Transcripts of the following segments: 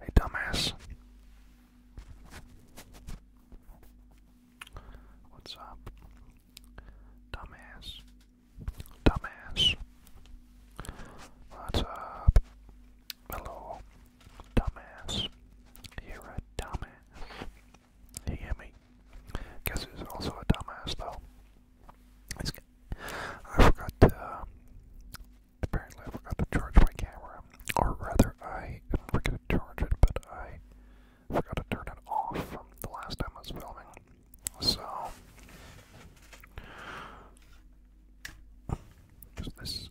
Hey, dumbass. What's up? Dumbass. Dumbass. What's up? Hello. Dumbass. You're a dumbass. hear me? Guess who's also a dumbass, though? I forgot to. apparently, I forgot to charge my camera, or rather, I didn't forget to charge it, but I forgot to turn it off from the last time I was filming. So, this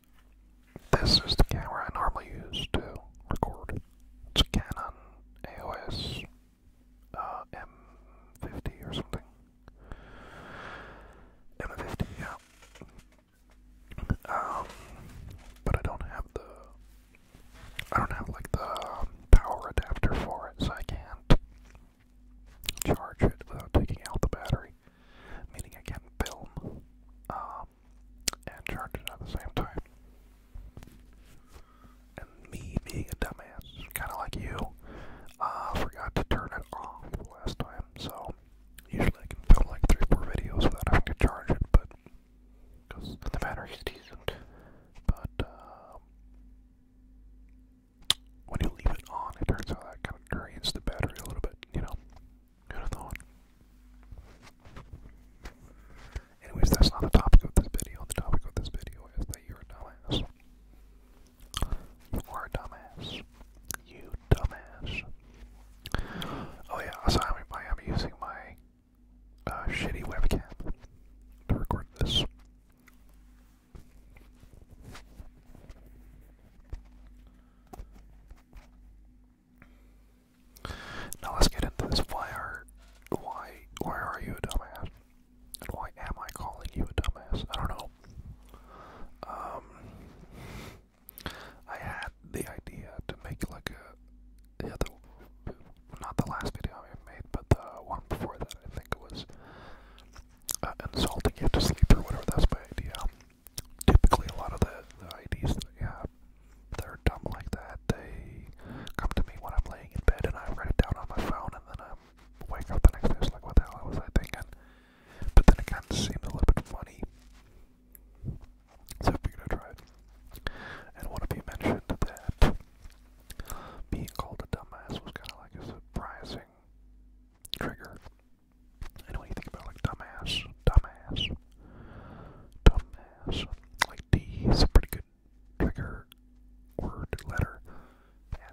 this is the camera I normally use to record. It's a Canon EOS. Uh, M50 or something. M50, yeah. Um, but I don't have the, I don't have like the power adapter for it, so I can't charge it without taking out the battery. Meaning I can film um, and charge it at the same time. And me being a dumbass, kind of like you, uh, forgot to turn it off last time. So usually I can film like three four videos without having to charge it, but because the battery's decent. But um, when you leave it on, it turns out that kind of drains the battery a little bit. You know, you know thought. Anyways, that's not the topic of this video. The topic of this video is that you're a dumbass. You are a dumbass. You dumbass. Oh yeah, so I'm, using my uh, shitty webcam to record this. Now let's get into this. fire why why are you a dumbass? why am I calling you a dumbass? I don't know. Um, I had the idea to make like a yeah, the, not the last video I made, but the one before that. I think it was uh, insulting you to sleep or whatever. That's my idea. Typically, a lot of the the IDs that we have, they're dumb like that they come to me when I'm laying in bed and I write it down on my phone and then I wake up the next day it's like, what the hell was I thinking? But then it kind of seems a little bit funny. So we're gonna try it. And one of you mentioned that being called a dumbass was kind of like a surprising trigger. And when you think about like dumbass, dumbass, dumbass, like D is a pretty good bigger word letter.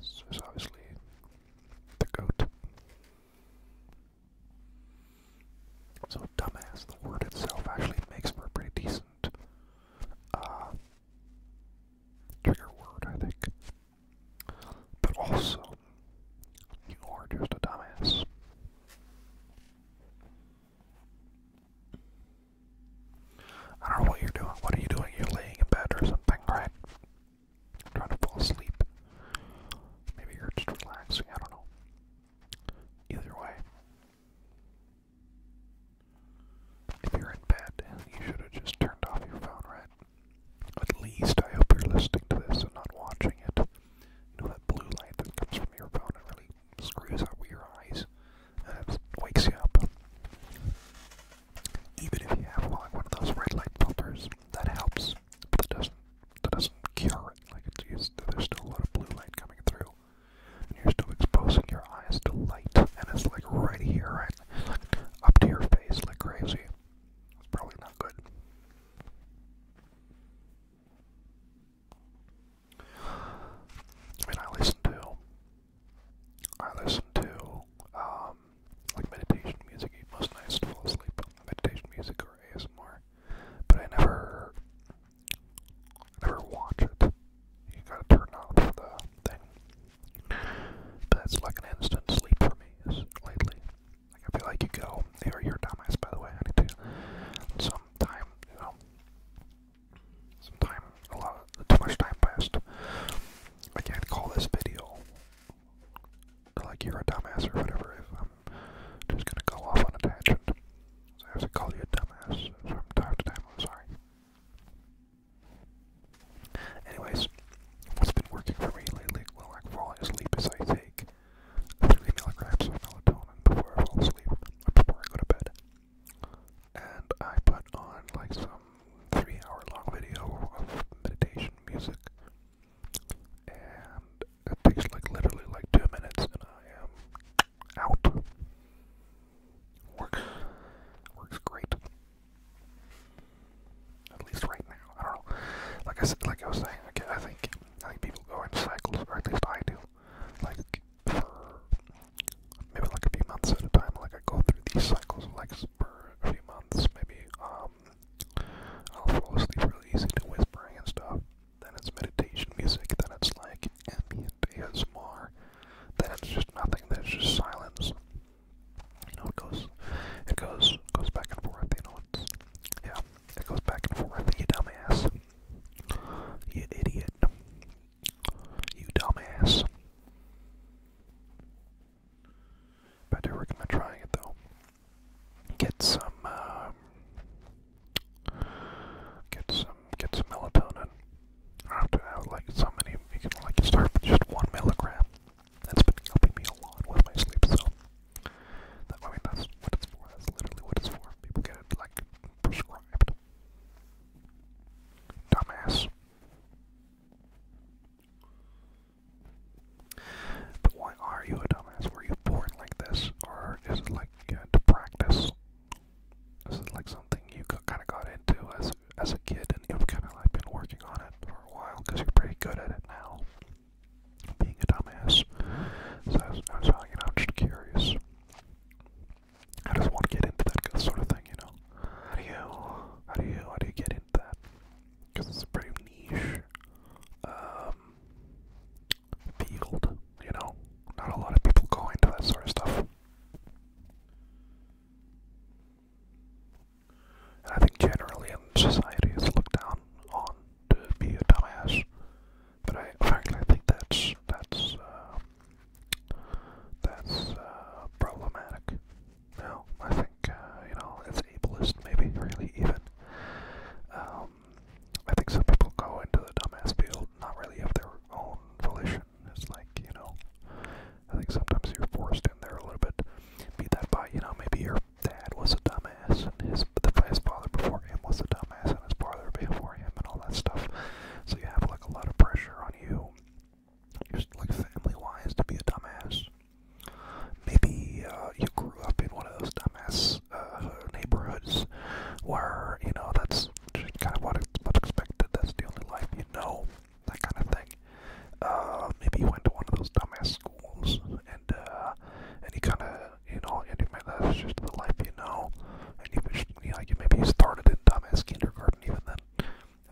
S is obviously the goat. So dumbass, the word itself actually makes for a pretty decent uh, trigger word, I think. But also, you are just a dumbass. I don't know what you're doing. What are you doing? You're laying in bed or something, right? Trying to fall asleep. Maybe you're just relaxing. I don't know. Either way, if you're in bed, you should have just turned off your phone, right? At least I hope you're listening to this and not watching it. You know that blue light that comes from your phone really screws up with your eyes and it wakes you up. Even if you have like one of those red light filters, that helps, but that doesn't that doesn't cure it. Like it's used, there's still a lot of blue light coming through, and you're still exposing your eyes to light, and it's like right here, right up to your face, like crazy. probably not good. I I listen to, I listen to, um, like meditation music most nights to fall asleep. Meditation music or ASMR, but I never, never watch it. You gotta turn off the thing. But that's like an instant sleep for me. lately, like I feel like you go. Hey, you're dumbass, by the way. I you know. Some time, a lot, too much time passed. I can't call this video like you're a dumbass or whatever if I'm just gonna go off on a tangent. So I have to call you a dumbass from I'm sorry. Anyways, what's been working for me lately? Well, i like falling asleep as I take 3 milligrams of melatonin before I fall asleep, before I go to bed and I put on like some three hour long video of meditation music and it takes like literally like two minutes and I am out. Works works great. At least right now. I don't know. Like I said like I was saying, I think I think people go in cycles, or at least I do. Like maybe like a few months at a time. Like I go through these cycles of like for a few months, maybe um, I'll fall asleep really easy to whispering and stuff. Then it's meditation music. Then it's like ambient ASMR. Then it's just nothing. Then it's just silence. You know, it goes, it goes, goes back and forth. You know, it's yeah, it goes back and forth. You dumbass. You idiot. You dumbass. Better we're gonna try it though. Get some, um, get some, get some melatonin. After I would like so many, you can like start with just one milligram. That's been helping me a lot with my sleep. So that I mean that's what it's for. That's literally what it's for. People get it like prescribed. Dumbass. But why are you a dumbass? Were you born like this? Or is it like to practice? Is like something you kind of got into as, as a kid and you've kind of like been working on it for a while because you're pretty good at it now? Being a dumbass. So I was, just curious. I just want to get into that sort of thing, you know. How do you, how do you, how do you get into that? Because it's a pretty niche um, field, you know. Not a lot of people go into that sort of stuff. And I think generally in society, it's looked down on to be a dumbass. But I frankly I think that's that's uh, that's uh, problematic. No, I think uh, you know it's ableist, maybe really even. Um, I think some people go into the dumbass field not really of their own volition. It's like you know, I think sometimes you're forced in there a little bit. Be that by you know maybe your dad was a dumbass and his the his father before him was a dumbass mass in his parlor before him and all that stuff. So you have like a lot of pressure on you, just like family wise, to be a dumbass. Maybe uh, you grew up in one of those dumbass uh, neighborhoods where, you know, that's just kind of what it's what's expected, that's the only life you know, that kind of thing. Uh, maybe you went to one of those dumbass schools and, uh, and you kind of you know, and it might, that's just the life you know. And you just, you know, like maybe he started in dumbass kindergarten even then, and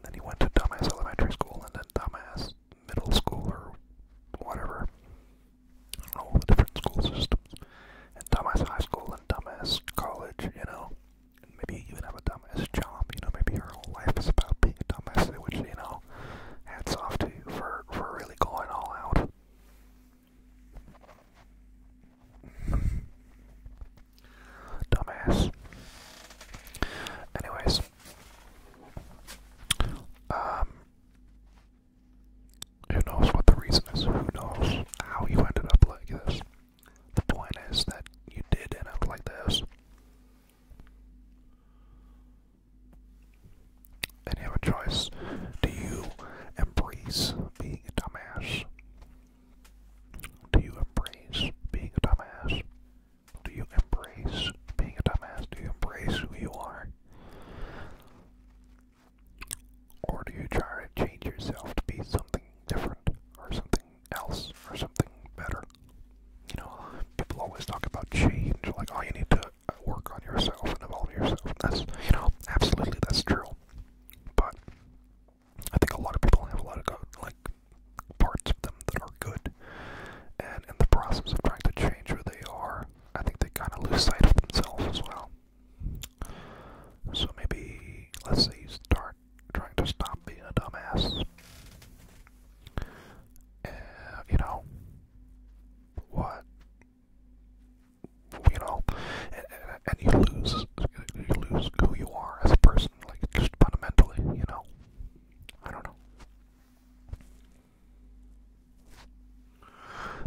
then he went to dumbass elementary school and then dumbass middle school or whatever. I don't know all the different school systems, and dumbass high school and dumbass college, you know. And maybe even have a dumbass job, you know. Maybe your whole life is about being a dumbass, which you know, hats off to you for for really going all out. Dumbass. Anyways. Um who knows what the reason is? Who knows how you ended up like this? The point is that you did end up like this. And have a choice. Do you embrace being a dumbass? Do you embrace being a dumbass? Do you embrace being a dumbass? Do you embrace who you are? Or do you try to change yourself to be something different or something else or something better? You know, people always talk about change, like, oh, you need to work on yourself and evolve yourself. that's you know absolutely that's true, but I think a lot of people have a lot of good, like parts of them that are good, and in the process of trying to change where they are, I think they kind of lose sight of themselves as well. So maybe let's say you start trying to stop being a dumbass. you know, what you know, and, and you lose, you lose who you are as a person, like just fundamentally, you know. I don't know.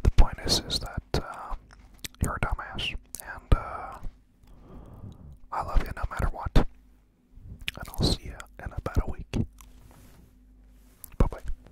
The point is, is that uh, you're a dumbass, and uh, I love you no matter what. And I'll see you in about a week. Bye bye.